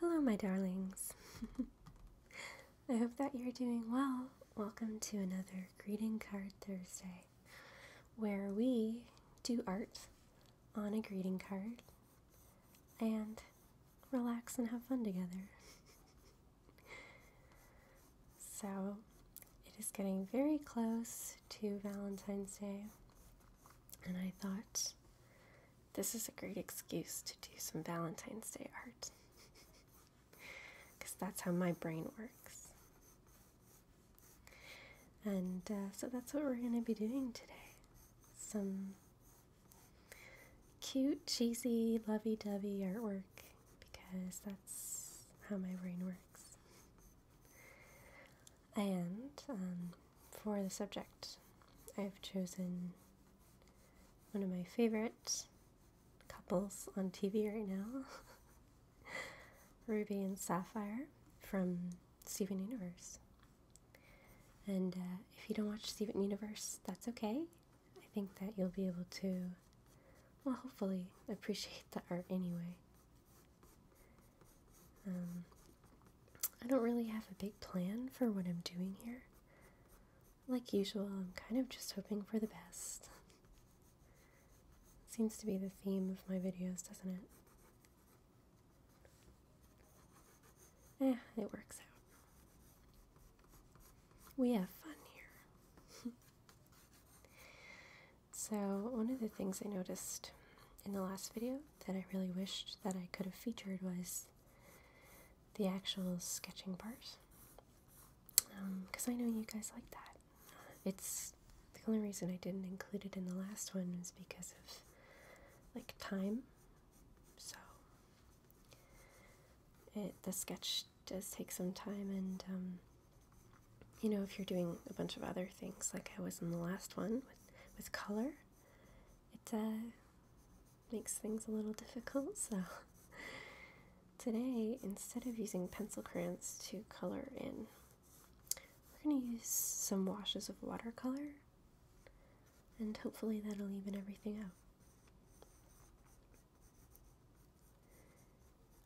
Hello, my darlings. I hope that you're doing well. Welcome to another Greeting Card Thursday, where we do art on a greeting card and relax and have fun together. so, it is getting very close to Valentine's Day, and I thought this is a great excuse to do some Valentine's Day art. Because that's how my brain works. And uh, so that's what we're going to be doing today. Some cute, cheesy, lovey dovey artwork. Because that's how my brain works. And um, for the subject, I've chosen one of my favorite couples on TV right now Ruby and Sapphire from Steven Universe. And uh, if you don't watch Steven Universe, that's okay. I think that you'll be able to, well, hopefully, appreciate the art anyway. Um, I don't really have a big plan for what I'm doing here. Like usual, I'm kind of just hoping for the best. Seems to be the theme of my videos, doesn't it? Eh, it works out. We have fun here. so, one of the things I noticed in the last video that I really wished that I could have featured was the actual sketching part. Because um, I know you guys like that. It's the only reason I didn't include it in the last one is because of like time. So it the sketch does take some time, and um, you know if you're doing a bunch of other things like I was in the last one with color, it uh, makes things a little difficult. So today, instead of using pencil crayons to color in, we're going to use some washes of watercolor and hopefully that'll even everything out.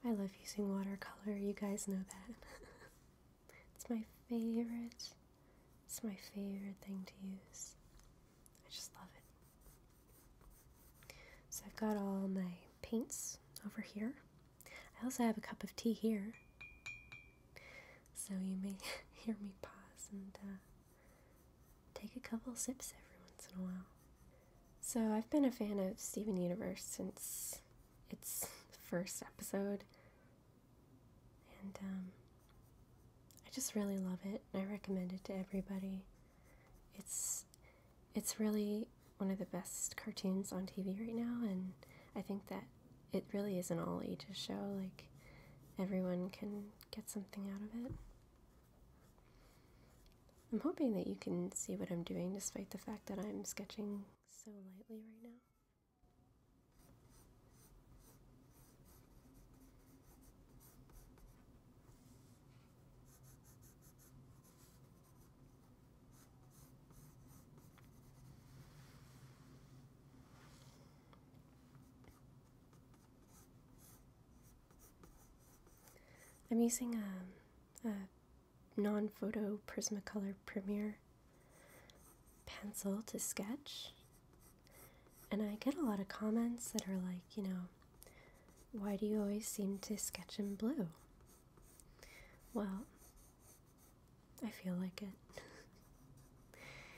I love using watercolor, you guys know that. it's my favorite it's my favorite thing to use. I just love it. So I've got all my paints over here. I also have a cup of tea here. So you may hear me pause and uh, take a couple sips every once in a while. So I've been a fan of Steven Universe since its first episode and um, I just really love it. I recommend it to everybody. It's it's really one of the best cartoons on TV right now, and I think that it really is an all ages show. Like everyone can get something out of it. I'm hoping that you can see what I'm doing despite the fact that I'm sketching so lightly right now. I'm using um, a, non photo Prismacolor Premiere pencil to sketch. And I get a lot of comments that are like, you know, why do you always seem to sketch in blue? Well, I feel like it.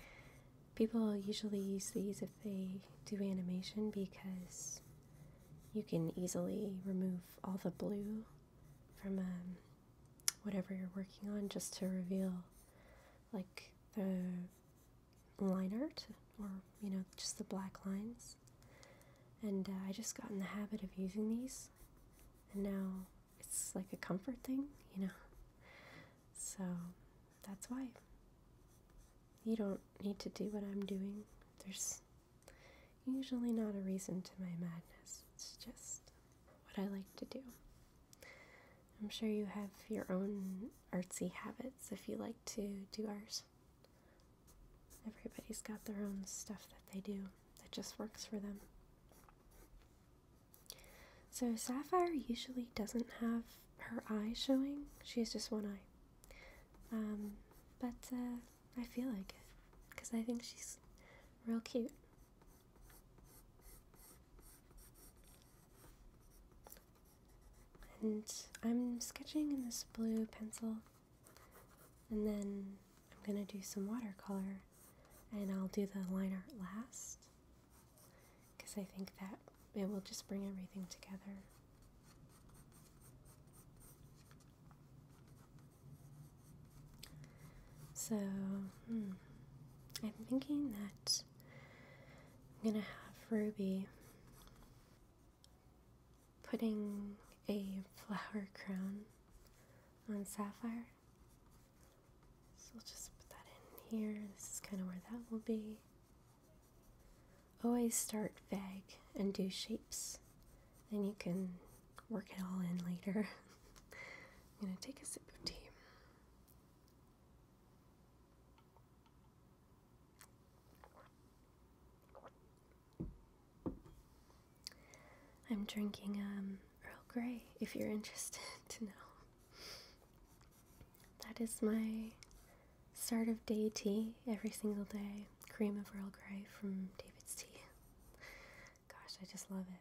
People usually use these if they do animation because you can easily remove all the blue from a um, whatever you're working on just to reveal like the line art or you know just the black lines and uh, I just got in the habit of using these and now it's like a comfort thing you know so that's why you don't need to do what I'm doing there's usually not a reason to my madness it's just what I like to do. I'm sure you have your own artsy habits if you like to do ours. Everybody's got their own stuff that they do that just works for them. So, Sapphire usually doesn't have her eye showing, she has just one eye. Um, but uh, I feel like it because I think she's real cute. And I'm sketching in this blue pencil, and then I'm gonna do some watercolor, and I'll do the line art last, because I think that it will just bring everything together. So, hmm, I'm thinking that I'm gonna have Ruby putting a flower crown on Sapphire. So we'll just put that in here. This is kind of where that will be. Always start vague and do shapes. Then you can work it all in later. I'm going to take a sip of tea. I'm drinking um, Earl Grey if you're interested to know. That is my start of day tea every single day. Cream of Earl Grey from David's Tea. Gosh, I just love it.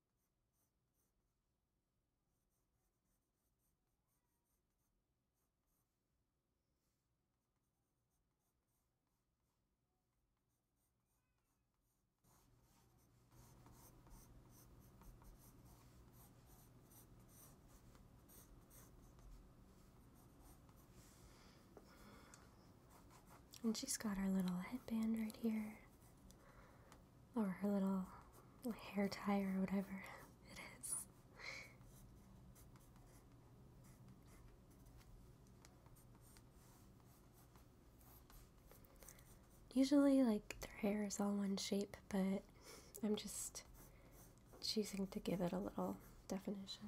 And she's got our little headband right here or her little hair tie or whatever it is. Usually, like, their hair is all one shape, but I'm just choosing to give it a little definition.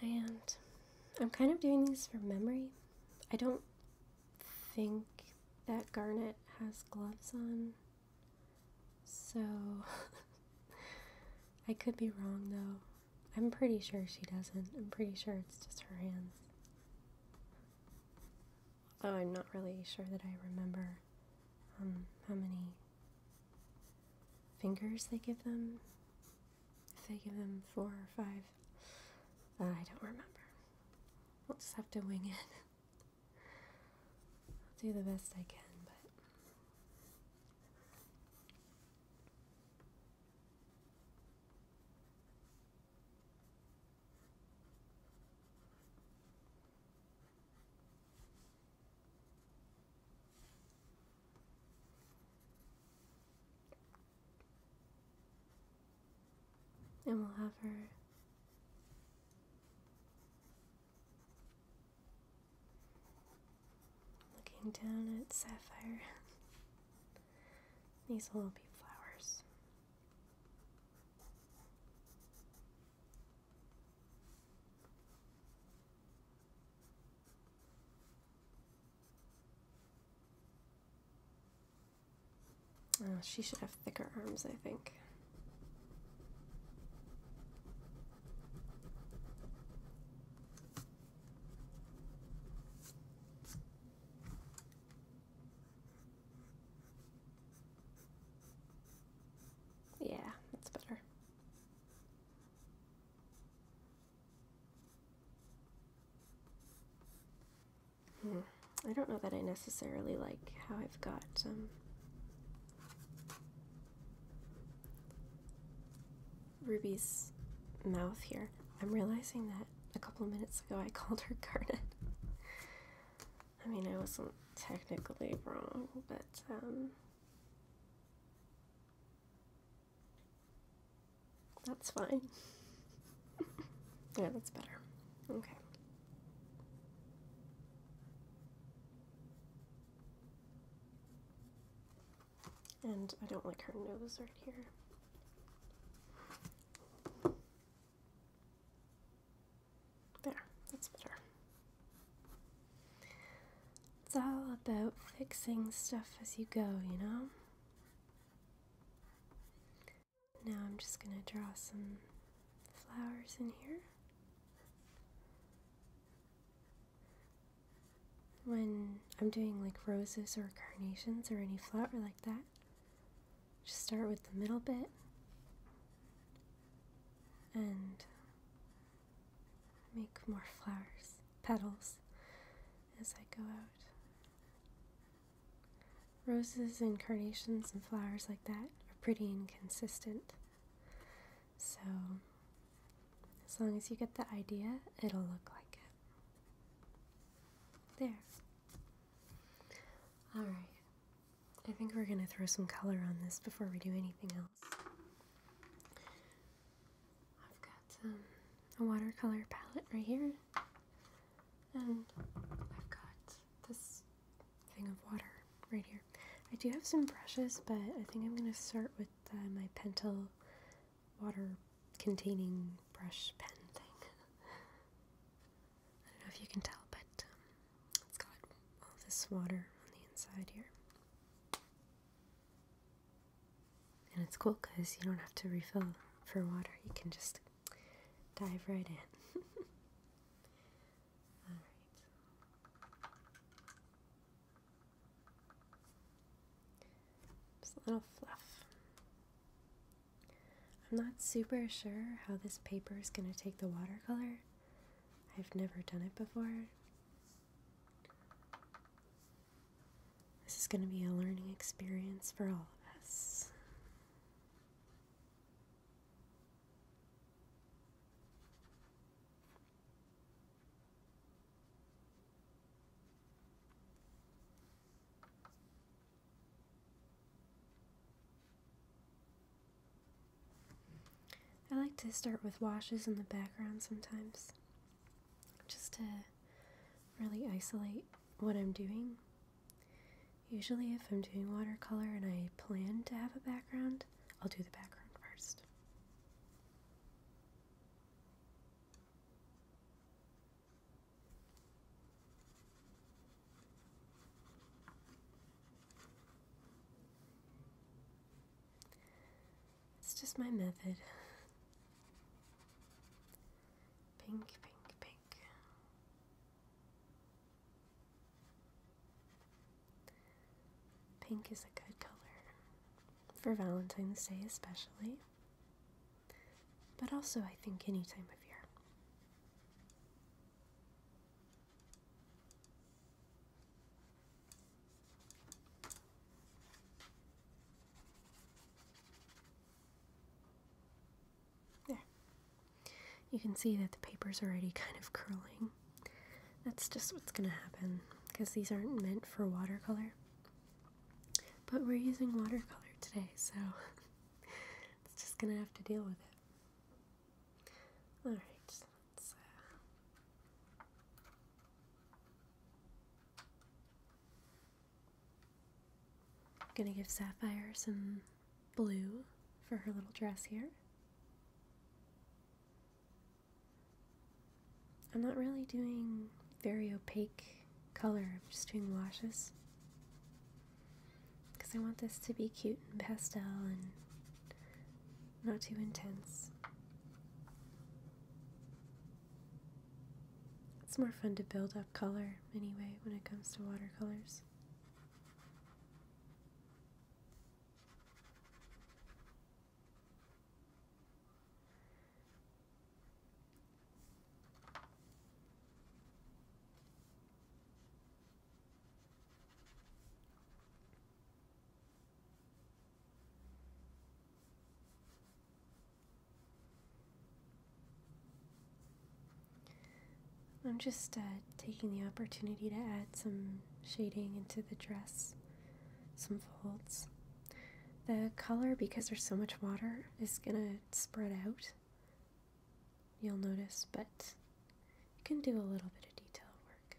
And I'm kind of doing these for memory. I don't think that Garnet has gloves on, so I could be wrong though. I'm pretty sure she doesn't. I'm pretty sure it's just her hands. Although I'm not really sure that I remember um, how many fingers they give them. If they give them four or five, uh, I don't remember. We'll just have to wing it. I'll do the best I can, but. And we'll have her looking down at Sapphire. These will be flowers. Oh, she should have thicker arms, I think. Yeah, that's better. Hmm. I don't know that I necessarily like how I've got um, Ruby's mouth here. I'm realizing that a couple of minutes ago I called her Garnet. I mean, I wasn't technically wrong, but um, that's fine. yeah, that's better. Okay. And I don't like her nose right here. There, that's better. It's all about fixing stuff as you go, you know? Now I'm just going to draw some flowers in here. When I'm doing like roses or carnations or any flower like that, just start with the middle bit and make more flowers, petals, as I go out. Roses and carnations and flowers like that are pretty inconsistent. So, as long as you get the idea, it'll look like it. There. Alright. I think we're going to throw some color on this before we do anything else. I've got um, a watercolor palette right here, and I've got this thing of water right here. I do have some brushes, but I think I'm going to start with uh, my Pentel water containing brush pen thing. I don't know if you can tell, but um, it's got all this water on the inside here. And it's cool because you don't have to refill for water. You can just dive right in. all right. Just a little fluff. I'm not super sure how this paper is going to take the watercolor. I've never done it before, this is going to be a learning experience for all of us. I like to start with washes in the background sometimes, just to really isolate what I'm doing. Usually, if I'm doing watercolor and I plan to have a background, I'll do the background first. It's just my method. Pink, pink, pink. Pink is a good color for Valentine's Day, especially, but also I think any time of year. There. You can see that the paper is already kind of curling. That's just what's going to happen because these aren't meant for watercolor. But we're using watercolor today, so it's just going to have to deal with it. Alright. I'm gonna give Sapphire some blue for her little dress here. I'm not really doing very opaque color, I'm just doing washes. Because I want this to be cute and pastel and not too intense. It's more fun to build up color anyway when it comes to watercolors. I'm just uh, taking the opportunity to add some shading into the dress, some folds. The color, because there's so much water, is going to spread out. You'll notice, but you can do a little bit of detail work.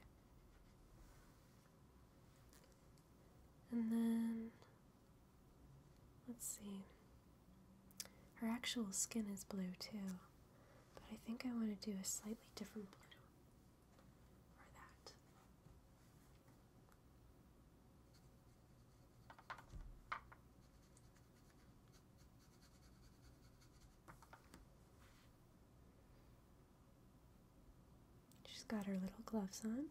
And then, let's see. Her actual skin is blue too, but I think I want to do a slightly different blue. Or that. She's got her little gloves on.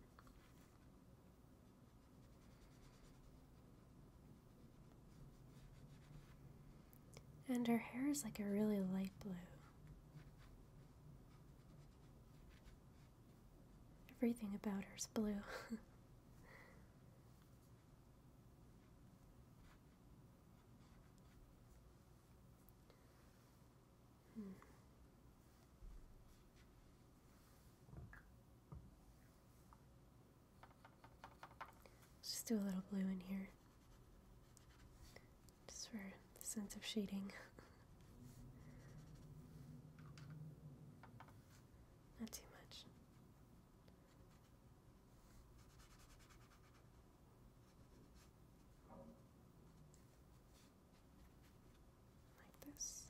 And her hair is like a really light blue. Everything about her is blue. Let's hmm. just do a little blue in here, just for the sense of shading. Not too much like this.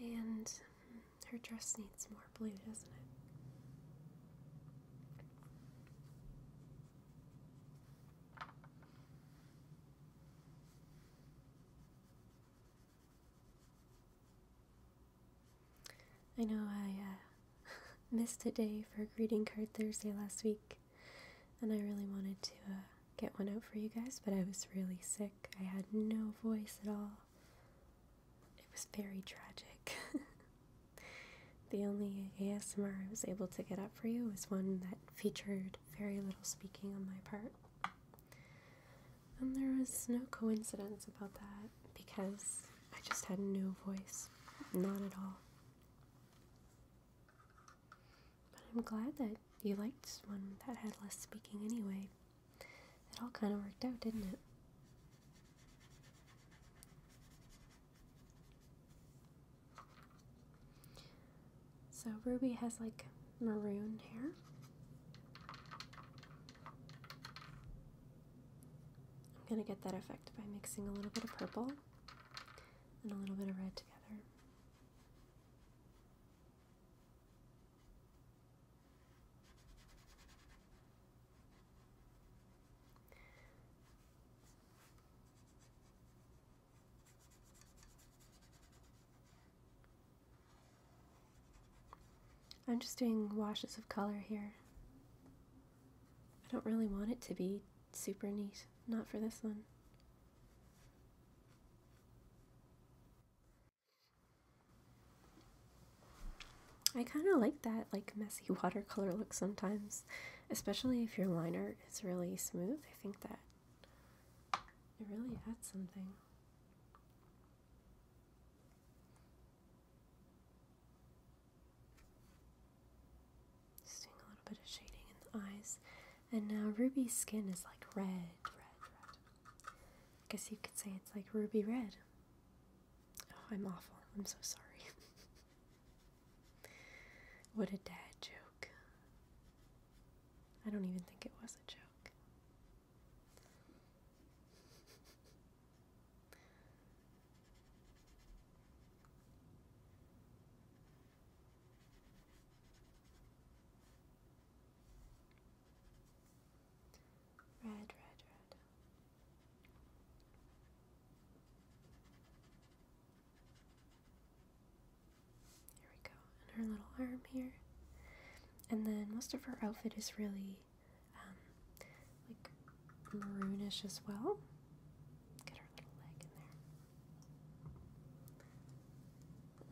And her dress needs more blue, doesn't it? I know I uh, missed a day for greeting card Thursday last week, and I really wanted to uh, get one out for you guys, but I was really sick. I had no voice at all. It was very tragic. the only ASMR I was able to get up for you was one that featured very little speaking on my part. And there was no coincidence about that because I just had no voice. Not at all. But I'm glad that you liked one that had less speaking anyway. It all kind of worked out, didn't it? So Ruby has like maroon hair. I'm going to get that effect by mixing a little bit of purple and a little bit of red together. I'm just doing washes of color here. I don't really want it to be super neat, not for this one. I kind of like that like messy watercolor look sometimes, especially if your liner is really smooth. I think that it really adds something. Just doing a little bit of shading in the eyes. And now Ruby's skin is like red, red. I guess you could say it's like ruby red. Oh, I'm awful. I'm so sorry. what a dad joke. I don't even think it was a joke. Red, red, red. Here we go and her little arm here. And then most of her outfit is really um, like maroonish as well. Get her little leg in there.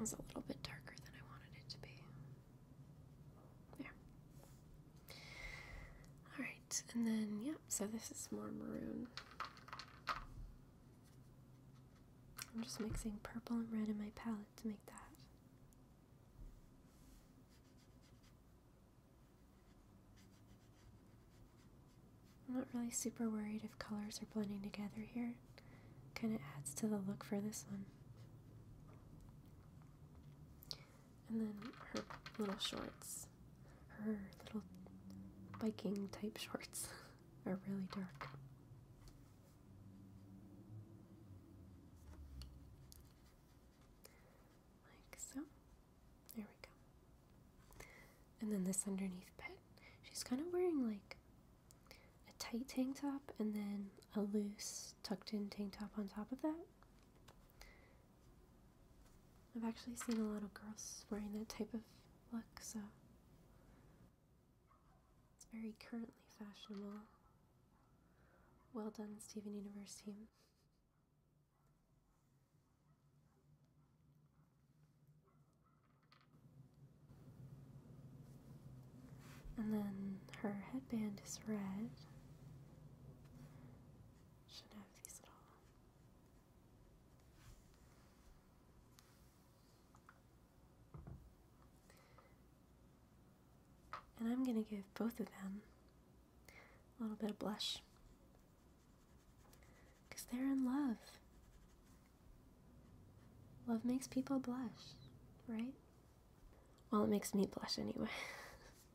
That a little bit darker than I wanted it to be. There. Alright, and then, yep, yeah, so this is more maroon. I'm just mixing purple and red in my palette to make that. I'm not really super worried if colors are blending together here. Kind of adds to the look for this one. And then her little shorts, her little biking type shorts, are really dark. Like so. There we go. And then this underneath bit, she's kind of wearing like a tight tank top and then a loose tucked in tank top on top of that. I've actually seen a lot of girls wearing that type of look, so it's very currently fashionable. Well done, Steven Universe team. And then her headband is red. Should have these little and I'm going to give both of them a little bit of blush. Because they're in love. Love makes people blush, right? Well, it makes me blush anyway.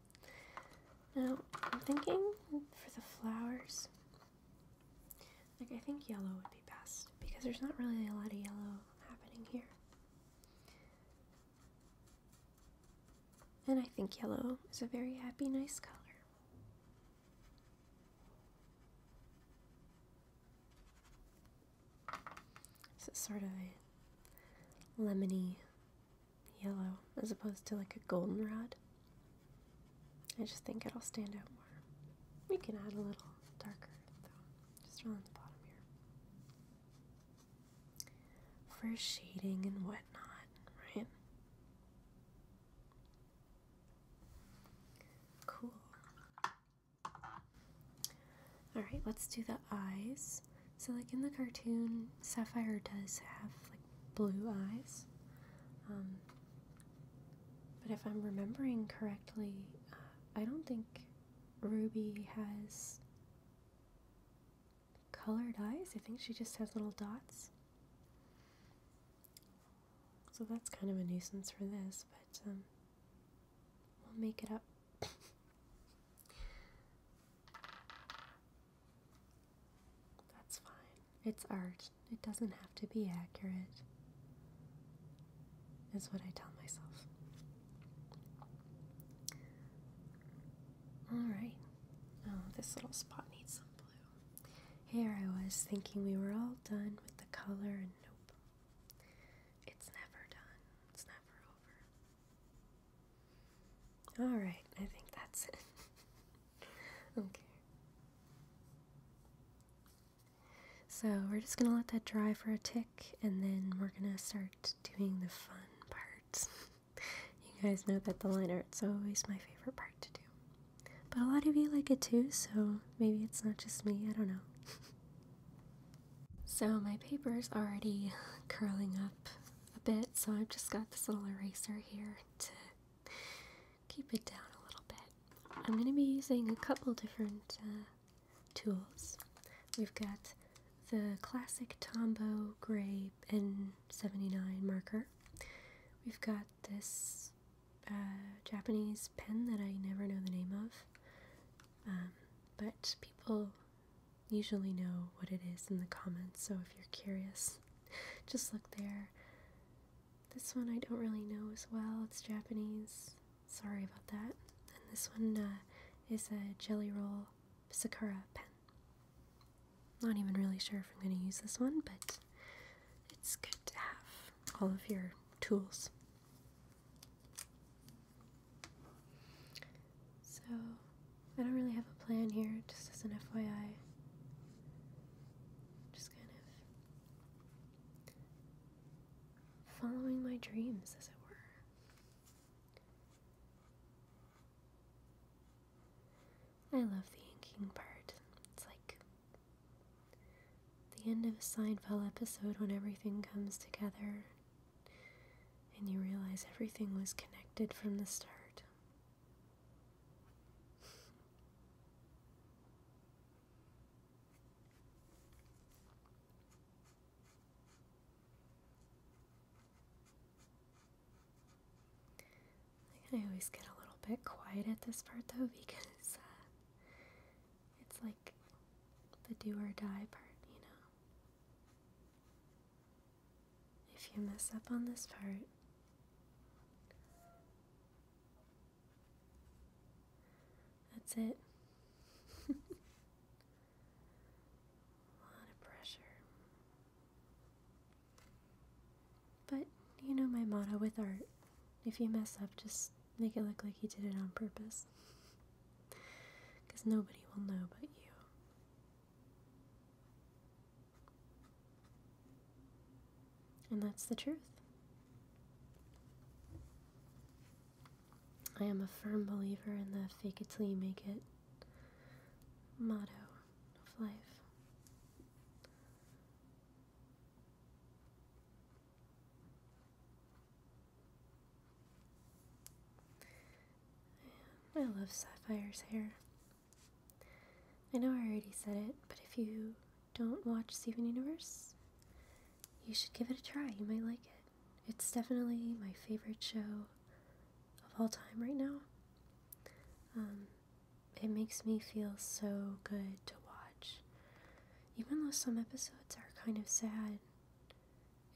now, I'm thinking for the flowers, like I think yellow would be best because there's not really a lot of yellow happening here. And I think yellow is a very happy, nice color. So it's sort of a lemony yellow as opposed to like a goldenrod. I just think it'll stand out more. We can add a little darker though just around the bottom here. For shading and whatnot, right? Cool. Alright, let's do the eyes. So, like in the cartoon, Sapphire does have like blue eyes. Um, but if I'm remembering correctly, uh, I don't think Ruby has colored eyes. I think she just has little dots. So that's kind of a nuisance for this, but um, we'll make it up. that's fine. It's art. It doesn't have to be accurate is what I tell myself. Alright. Oh, this little spot needs some blue. Here I was thinking we were all done with the color, and nope. It's never done, it's never over. Alright, I think that's it. okay. So we're just going to let that dry for a tick and then we're going to start doing the fun parts. you guys know that the line art's always my favorite part to do. But a lot of you like it too, so maybe it's not just me, I don't know. so my paper is already curling up a bit, so I've just got this little eraser here to keep it down a little bit. I'm going to be using a couple different uh, tools. We've got the classic Tombow Gray N79 marker. We've got this uh, Japanese pen that I never know the name of, um, but people usually know what it is in the comments, so if you're curious, just look there. This one I don't really know as well, it's Japanese. Sorry about that. And this one uh, is a Jelly Roll Sakura pen. Not even really sure if I'm going to use this one, but it's good to have all of your tools. So, I don't really have a plan here, just as an FYI. Just kind of following my dreams, as it were. I love the inking part. It's like the end of a Seinfeld episode when everything comes together and you realize everything was connected from the start. I always get a little bit quiet at this part though because uh, it's like the do or die part, you know. If you mess up on this part, that's it. a lot of pressure. But you know my motto with art if you mess up, just make it look like you did it on purpose. Because nobody will know but you. And that's the truth. I am a firm believer in the fake it till you make it motto of life. I love Sapphire's hair. I know I already said it, but if you don't watch Steven Universe, you should give it a try. You might like it. It's definitely my favorite show of all time right now. Um, it makes me feel so good to watch. Even though some episodes are kind of sad,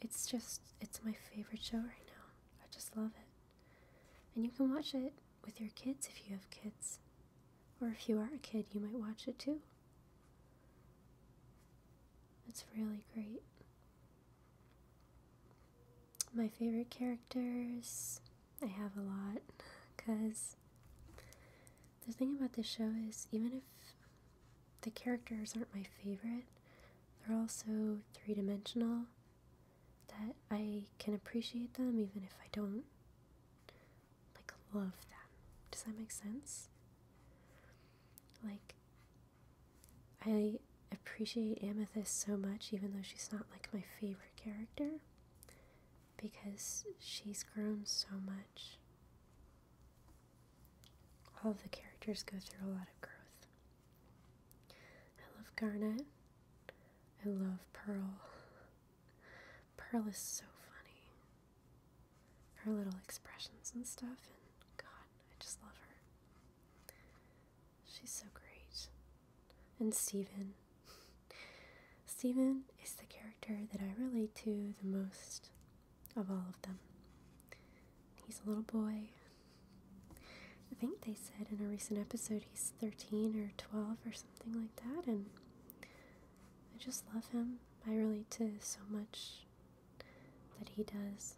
it's just, it's my favorite show right now. I just love it. And you can watch it with your kids if you have kids. Or if you are a kid, you might watch it too. It's really great. My favorite characters, I have a lot, because the thing about this show is even if the characters aren't my favorite, they're also three dimensional, that I can appreciate them even if I don't like love them. Does that make sense? Like I appreciate Amethyst so much even though she's not like my favorite character because she's grown so much. All of the characters go through a lot of growth. I love Garnet. I love Pearl. Pearl is so funny. Her little expressions and stuff, and God, I just love her. She's so great. And Steven. Steven is the character that I relate to the most of all of them. He's a little boy. I think they said in a recent episode he's 13 or 12 or something like that, and I just love him. I relate to so much that he does.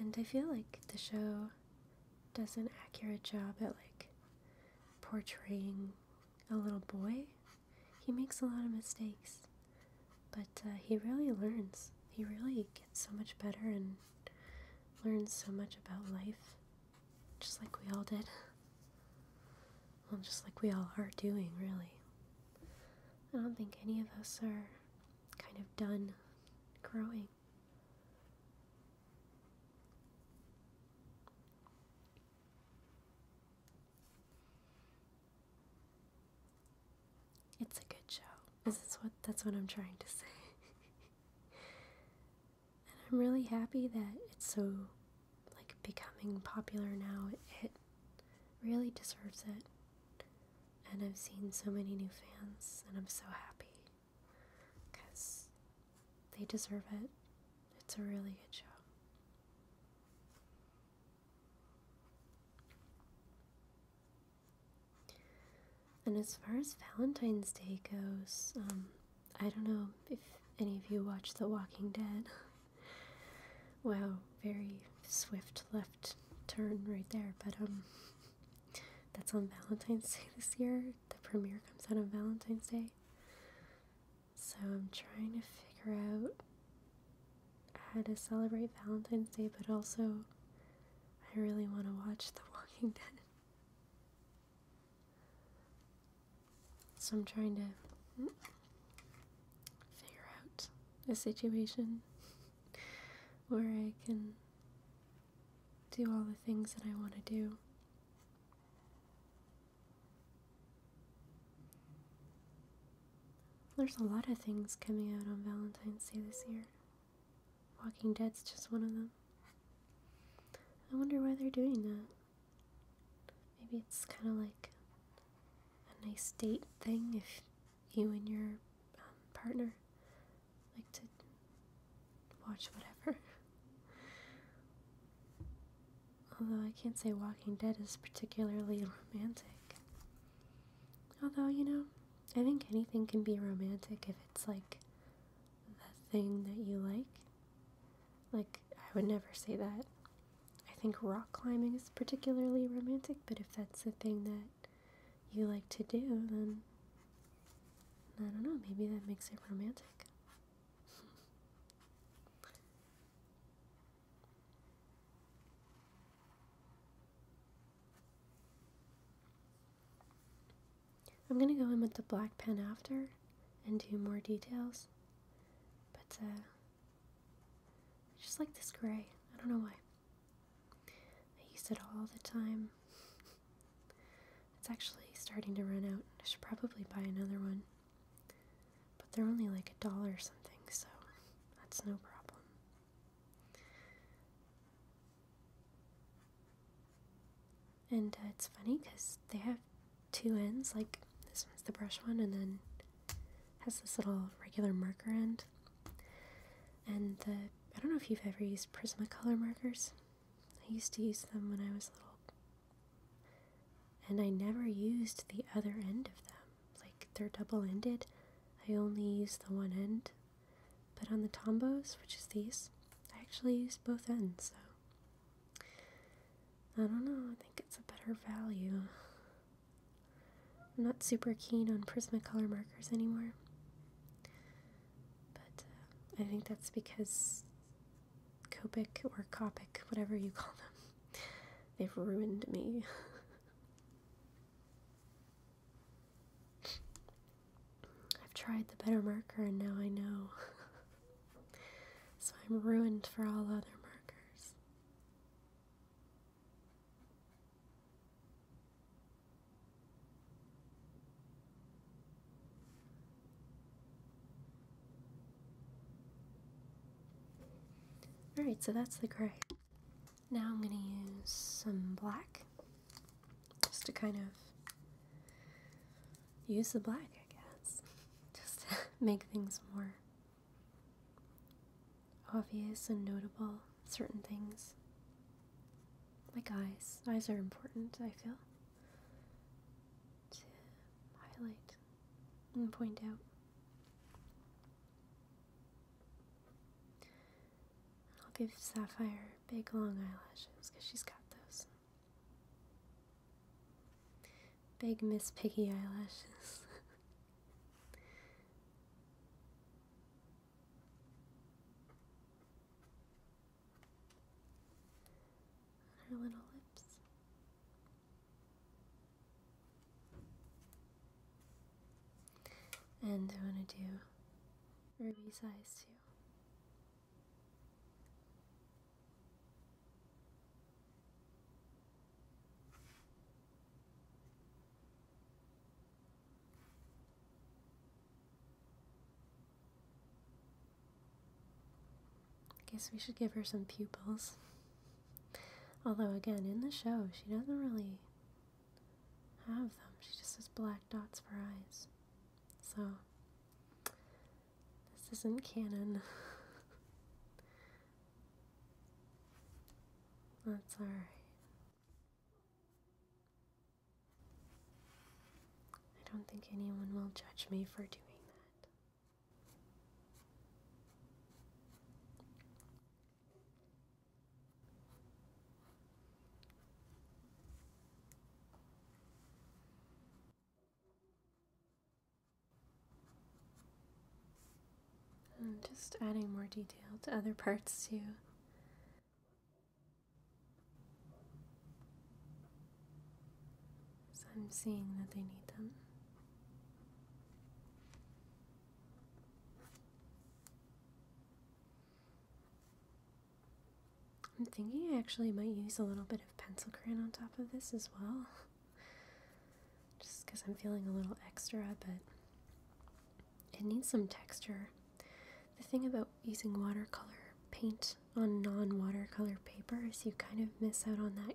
And I feel like the show does an accurate job at like portraying a little boy. He makes a lot of mistakes, but uh, he really learns. He really gets so much better and learns so much about life, just like we all did. Well, just like we all are doing, really. I don't think any of us are kind of done growing. It's a good show. This is what that's what I'm trying to say. and I'm really happy that it's so like becoming popular now. It, it really deserves it. And I've seen so many new fans and I'm so happy because they deserve it. It's a really good show. And as far as Valentine's Day goes, um, I don't know if any of you watch The Walking Dead. wow, very swift left turn right there, but um that's on Valentine's Day this year. The premiere comes out on Valentine's Day. So I'm trying to figure out how to celebrate Valentine's Day, but also I really want to watch The Walking Dead. So I'm trying to hmm, figure out a situation where I can do all the things that I want to do. There's a lot of things coming out on Valentine's Day this year. Walking Dead's just one of them. I wonder why they're doing that. Maybe it's kind of like a nice date thing if you and your um, partner like to watch whatever. Although I can't say Walking Dead is particularly romantic. Although, you know, I think anything can be romantic if it's like the thing that you like. Like, I would never say that. I think rock climbing is particularly romantic, but if that's the thing that you like to do, then I don't know, maybe that makes it romantic. I'm gonna go in with the black pen after and do more details, but uh, I just like this gray. I don't know why. I use it all the time. it's actually starting to run out. I should probably buy another one. But they're only like a dollar or something, so that's no problem. And uh, it's funny because they have two ends, like this one's the brush one, and then has this little regular marker end. And the, I don't know if you've ever used Prismacolor markers. I used to use them when I was little. And I never used the other end of them. Like, they're double ended. I only used the one end. But on the Tombos, which is these, I actually used both ends, so. I don't know, I think it's a better value. I'm not super keen on Prismacolor markers anymore. But uh, I think that's because Copic or Copic, whatever you call them, they've ruined me. I've tried the better marker and now I know. so I'm ruined for all other markers. Alright, so that's the gray. Now I'm going to use some black just to kind of use the black, I guess, just to make things more obvious and notable certain things. Like eyes. Eyes are important, I feel, to highlight and point out. I'll give Sapphire big long eyelashes because she's got those. Big Miss Piggy eyelashes. her little lips. And I want to do Ruby's eyes too. Guess we should give her some pupils. Although, again, in the show, she doesn't really have them. She just has black dots for eyes. So, this isn't canon. That's alright. I don't think anyone will judge me for doing that. I'm just adding more detail to other parts too. So I'm seeing that they need them. I'm thinking I actually might use a little bit of pencil crayon on top of this as well. Just because I'm feeling a little extra, but it needs some texture. The thing about using watercolor paint on non watercolor paper is you kind of miss out on that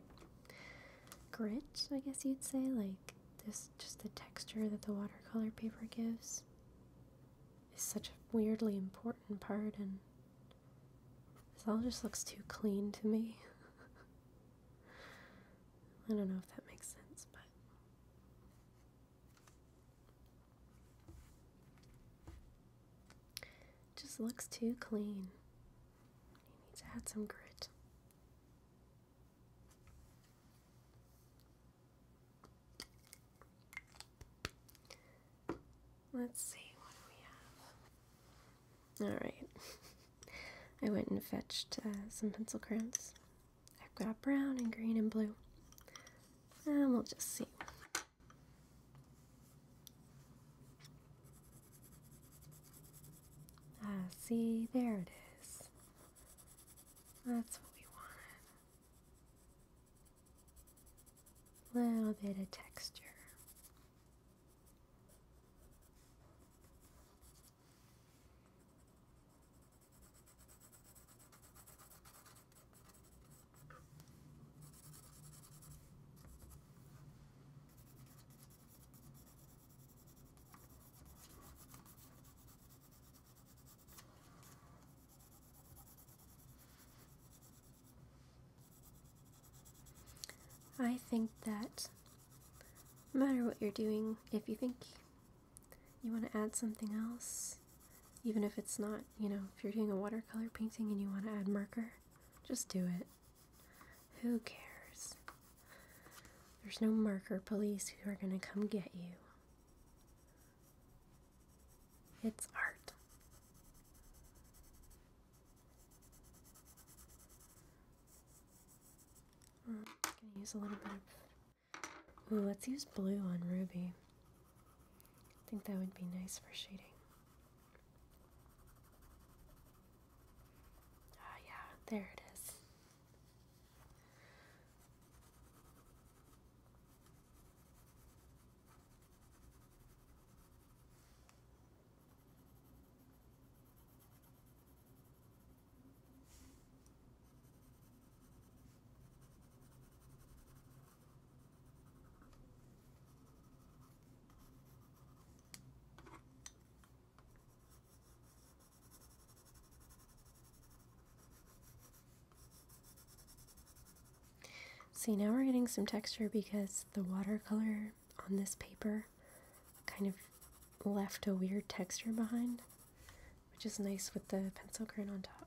grit, I guess you'd say, like this just the texture that the watercolor paper gives is such a weirdly important part and this all just looks too clean to me. I don't know if that makes sense, but just looks too clean. You need to add some grit. Let's see what we have. All right. I went and fetched uh, some pencil crayons I've got brown and green and blue. And we'll just see. Ah, see, there it is. That's what we wanted. Little bit of texture. I think that no matter what you're doing, if you think you want to add something else, even if it's not, you know, if you're doing a watercolor painting and you want to add marker, just do it. Who cares? There's no marker police who are going to come get you. It's art. I'm mm, going to use a little bit of let's use blue on Ruby. I think that would be nice for shading. Ah, yeah, there it is. See, now we're getting some texture because the watercolor on this paper kind of left a weird texture behind which is nice with the pencil current on top.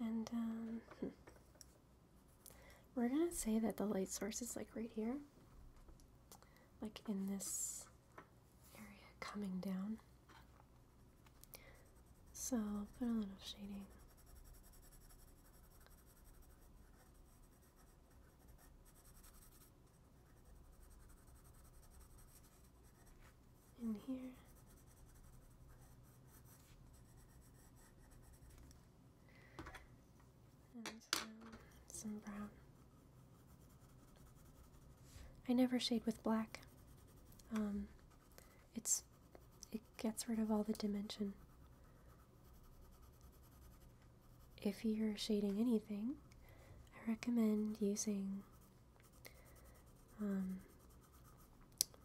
And um, We're gonna say that the light source is like right here, like in this area coming down. So put a little shading. in here um, some brown. I never shade with black. Um, it's it gets rid of all the dimension. If you're shading anything, I recommend using um,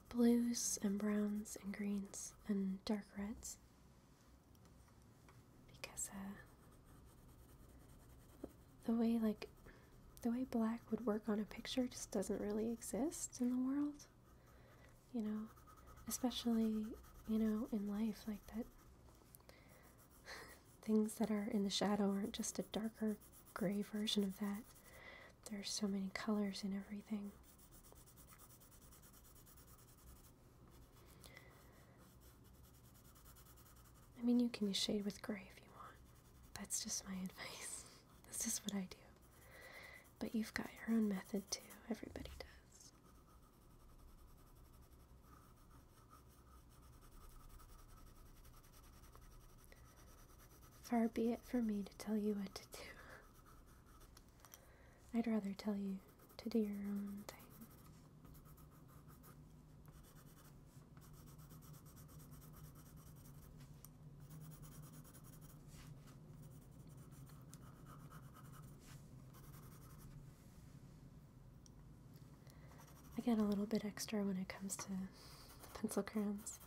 blues and browns and greens and dark reds because uh, the way like the way black would work on a picture just doesn't really exist in the world you know especially you know in life like that things that are in the shadow aren't just a darker gray version of that there's so many colors in everything I mean, you can shade with gray if you want. That's just my advice. That's just what I do. But you've got your own method too. Everybody does. Far be it for me to tell you what to do. I'd rather tell you to do your own thing. I get a little bit extra when it comes to the pencil crayons.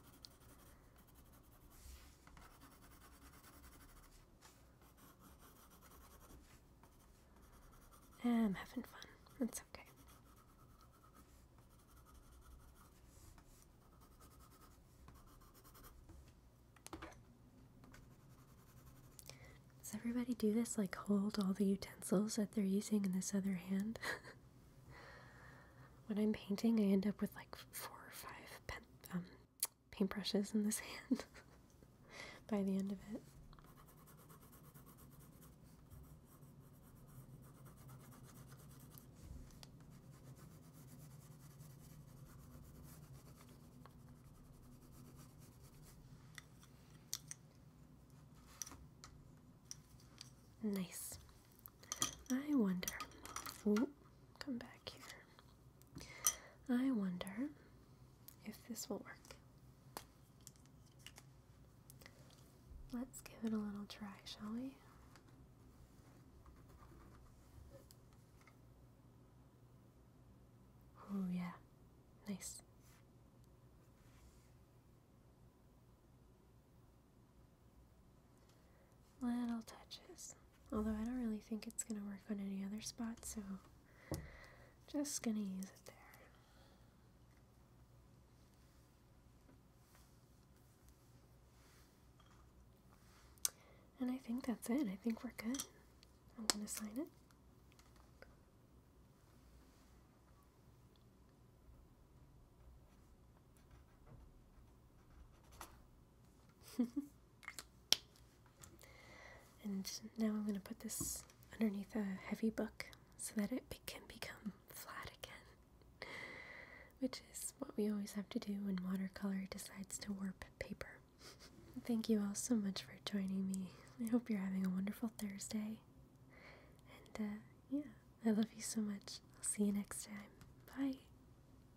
I'm having fun. That's okay. Does everybody do this? Like, hold all the utensils that they're using in this other hand? when I'm painting, I end up with like four or five pen, um, paintbrushes in this hand by the end of it. Nice. I wonder. come back here. I wonder if this will work. Let's give it a little try, shall we? Oh, yeah, nice. Little touches. Although I don't really think it's going to work on any other spot, so just going to use it there. And I think that's it. I think we're good. I'm going to sign it. and now I'm going to put this underneath a heavy book so that it can become flat again, which is what we always have to do when watercolor decides to warp paper. Thank you all so much for joining me. I hope you're having a wonderful Thursday. And uh, yeah, I love you so much. I'll see you next time. Bye.